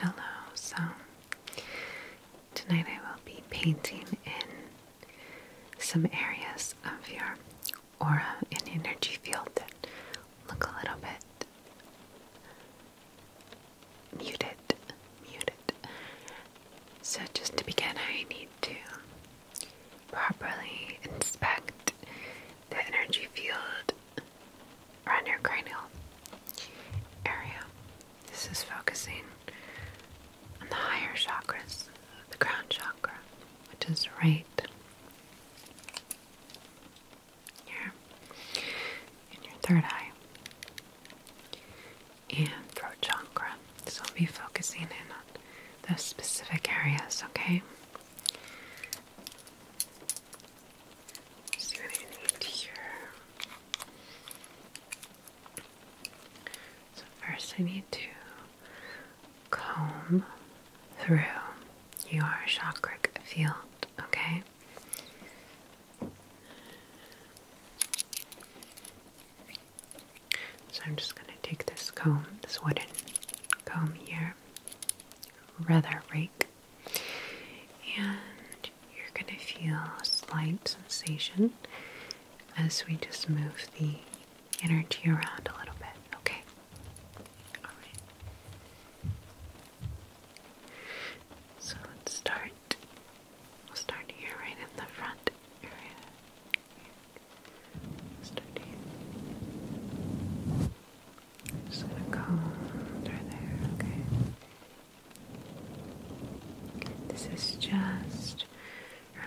Hello, so tonight I will be painting in some areas of your aura and energy field that look a little bit muted. Muted. So, just to begin, I need to properly inspect the energy field around your cranial area. This is focusing on the higher chakras, the crown chakra, which is right here, in your third eye, and throat chakra. So we'll be focusing in on those specific areas, okay? So first I need to comb through your chakric field, okay? So I'm just going to take this comb, this wooden comb here, rather rake and you're going to feel a slight sensation as we just move the energy around a little bit. Okay? Alright. So let's start. We'll start here, right in the front area. Start here just gonna comb under there, okay? This is just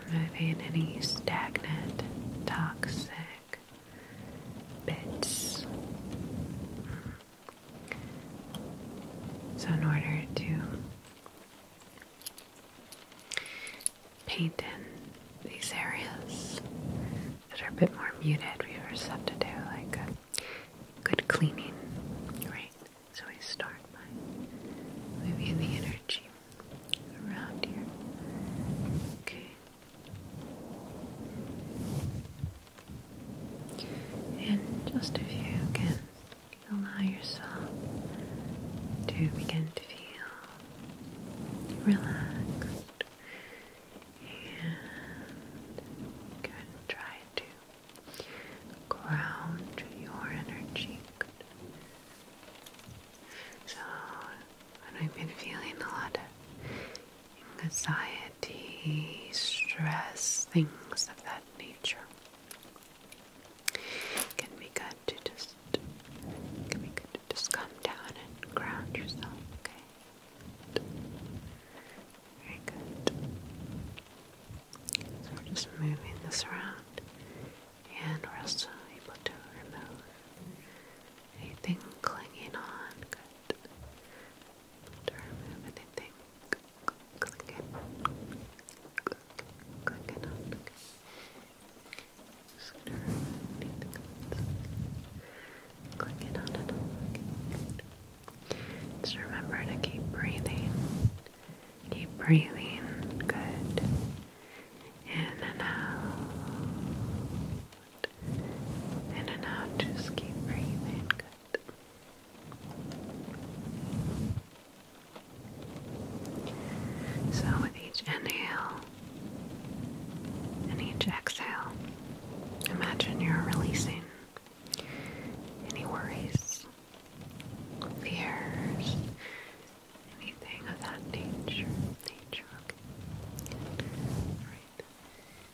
removing any stagnant, toxic bits. So, in order to paint in these areas that are a bit more muted, we first have to do like uh, good cleaning, right? So we start by moving the energy around here. Okay. And just if you can allow yourself to begin to feel relaxed. And good. Try to ground your energy. So, when we've been feeling a lot of anxiety, stress, things of that nature, can be good to just, just come down and ground yourself, okay? Very good. just moving this around, and we're also able to remove anything clinging on. Good. To remove anything clinging, clinging on. Just remember to keep breathing. Keep breathing. Good. In and out. In and out. Just keep breathing. Good. So, with each inhale, and each exhale, imagine you're releasing any worries, fears, anything of that nature. okay. Alright.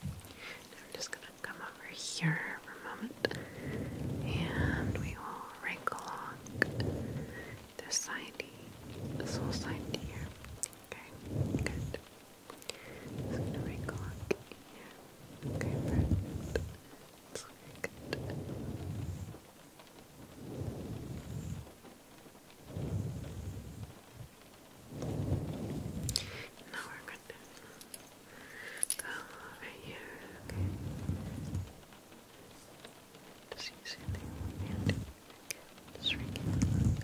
I'm just gonna come over here for a moment and we will wrinkle along this side, this whole side here. Okay, good. Just gonna wrinkle Okay, perfect. good. Now we're gonna go over here, okay? Just just shrink it a little bit.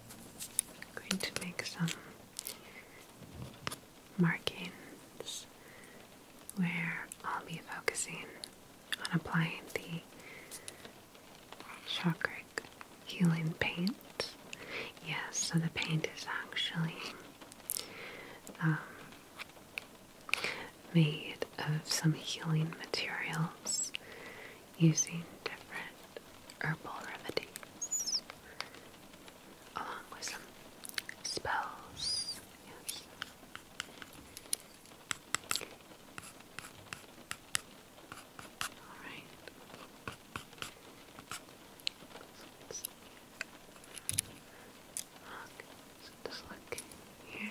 I'm going to make some markings where I'll be focusing on applying the chakra healing paint. Yes, so the paint is actually um, made of some healing materials using different herbal remedies along with some spells. All right. Okay, so look here.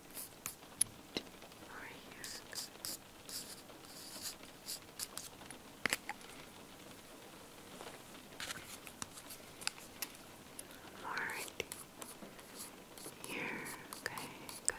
Over here. Alright. Here. Okay, good. Okay.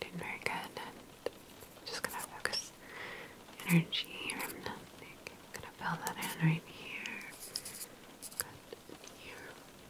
Doing very good, just gonna focus energy i I'm gonna fill that in right here. Good. Here.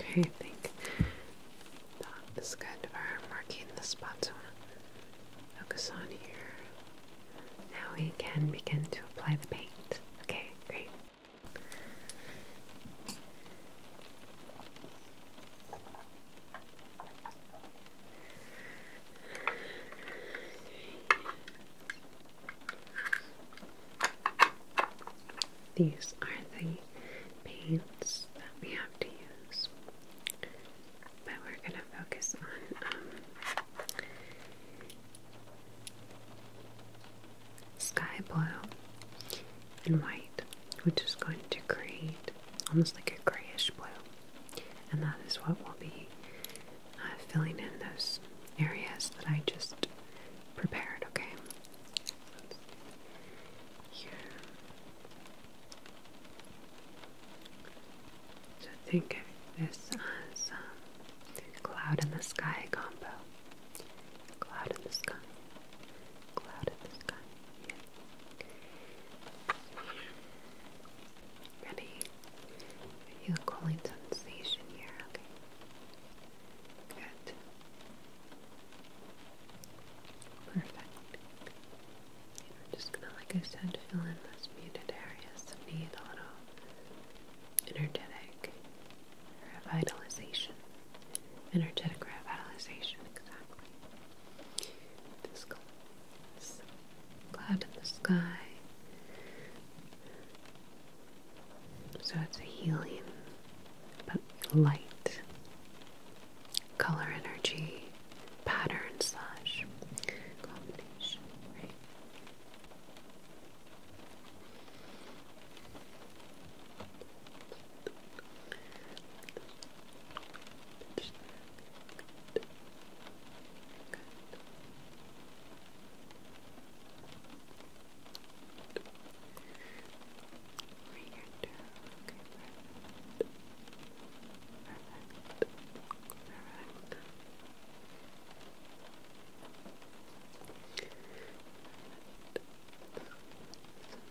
Okay, I think that is good. We're marking the spots I want to focus on here. Now we can begin to apply the paint. Okay, great. These are the paints that we have to use, but we're going to focus on um, sky blue and white, which is going to create almost like a grayish blue. And that is what will be uh, filling in those areas that I just prepared, okay? So think of this as um, cloud in the sky combo. Cloud in the sky. Cloud in the sky. Ready? You calling sensation here, okay? Good. Perfect. we're just gonna, like I said, fill in those muted areas that need a little energetic revitalization. Energetic revitalization, exactly. This color cloud in the sky. So it's a healing, but light color energy pattern slash combination, right? Good. Good. Good. Over here too. Okay, perfect. Perfect. Perfect. Perfect. So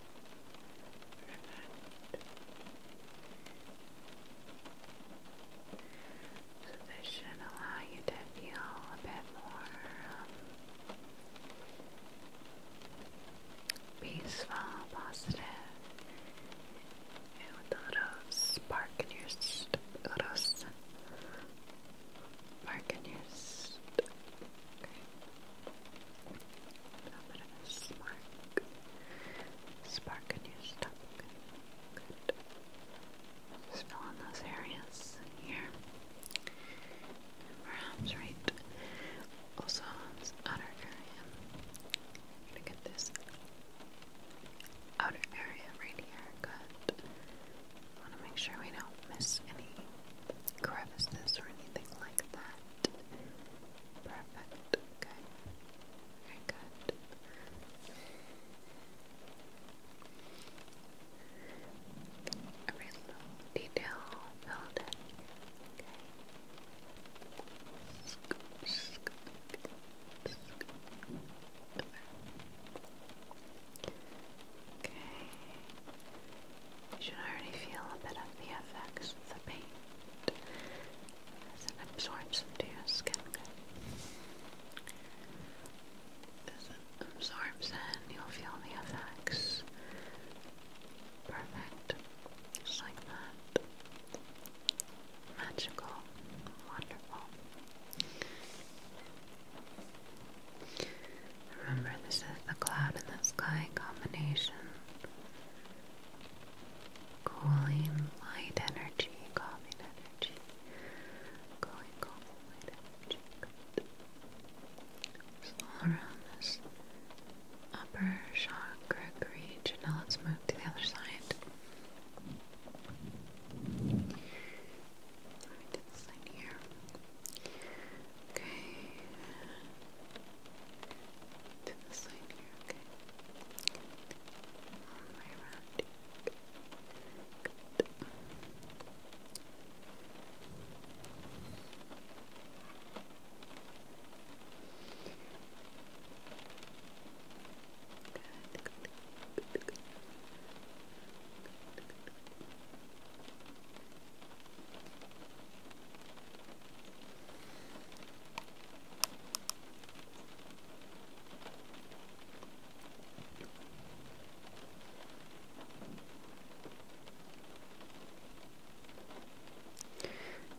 So this should allow you to feel a bit more um, peaceful, positive, and with a little spark in your little spark in your little bit of a spark, spark in your stomach. Good. Just in those areas here. And right also outer area. gonna get this outer area right here. Good. I want to make sure we don't miss any crevices or anything like that. Perfect. Okay. Very good. Every little detail filled Okay. Okay. You should already feel a bit of the effects of the paint as it absorbs into your skin. As it absorbs in, you'll feel the effects. Perfect. Just like that. Magical. Wonderful. Remember, this is the cloud in the sky combination. Cooling light energy, calming energy. Going calming energy. Good. all around this upper chakra region. Now let's move to the other side. Let me do this side here. Okay. To the side here, okay. All the way around. Good. good, good, good, good, good, good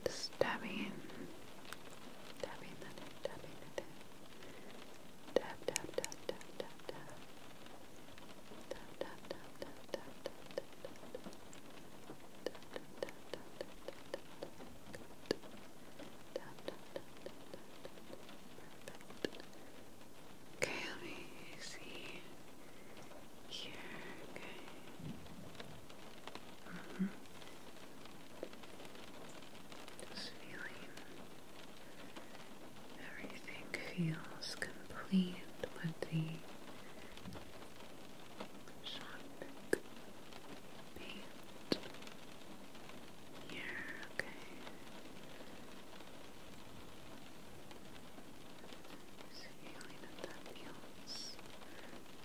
just dabbing, dabbing that in, dabbing that in. Dab, dab, dab, dab, dab, dab. Okay, let me see here. Okay. Mm -hmm. Just feeling Everything feels complete with the shot paint here, okay. So feeling that that feels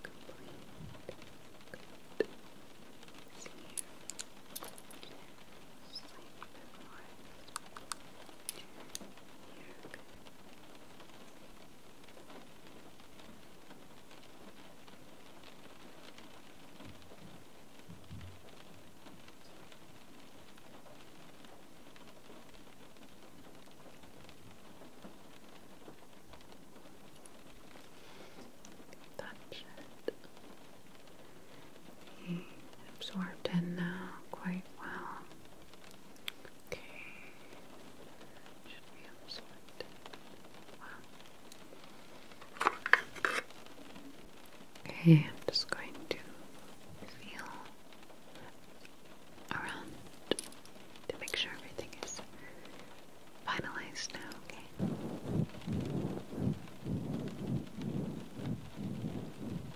complete slightly bit you Okay, absorbed in now uh, quite well. Okay, should be absorbed. Wow. Okay, I'm just going to feel around to make sure everything is finalized now, okay?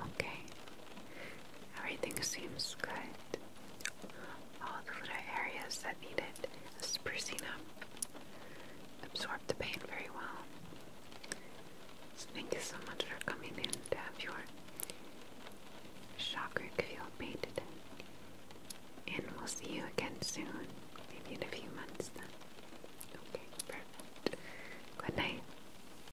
Okay, everything seems good. All the little areas that needed sprucing up absorb the paint very well. So thank you so much for coming in to have your chakra field painted And we'll see you again soon, maybe in a few months then. Okay, perfect. Good night.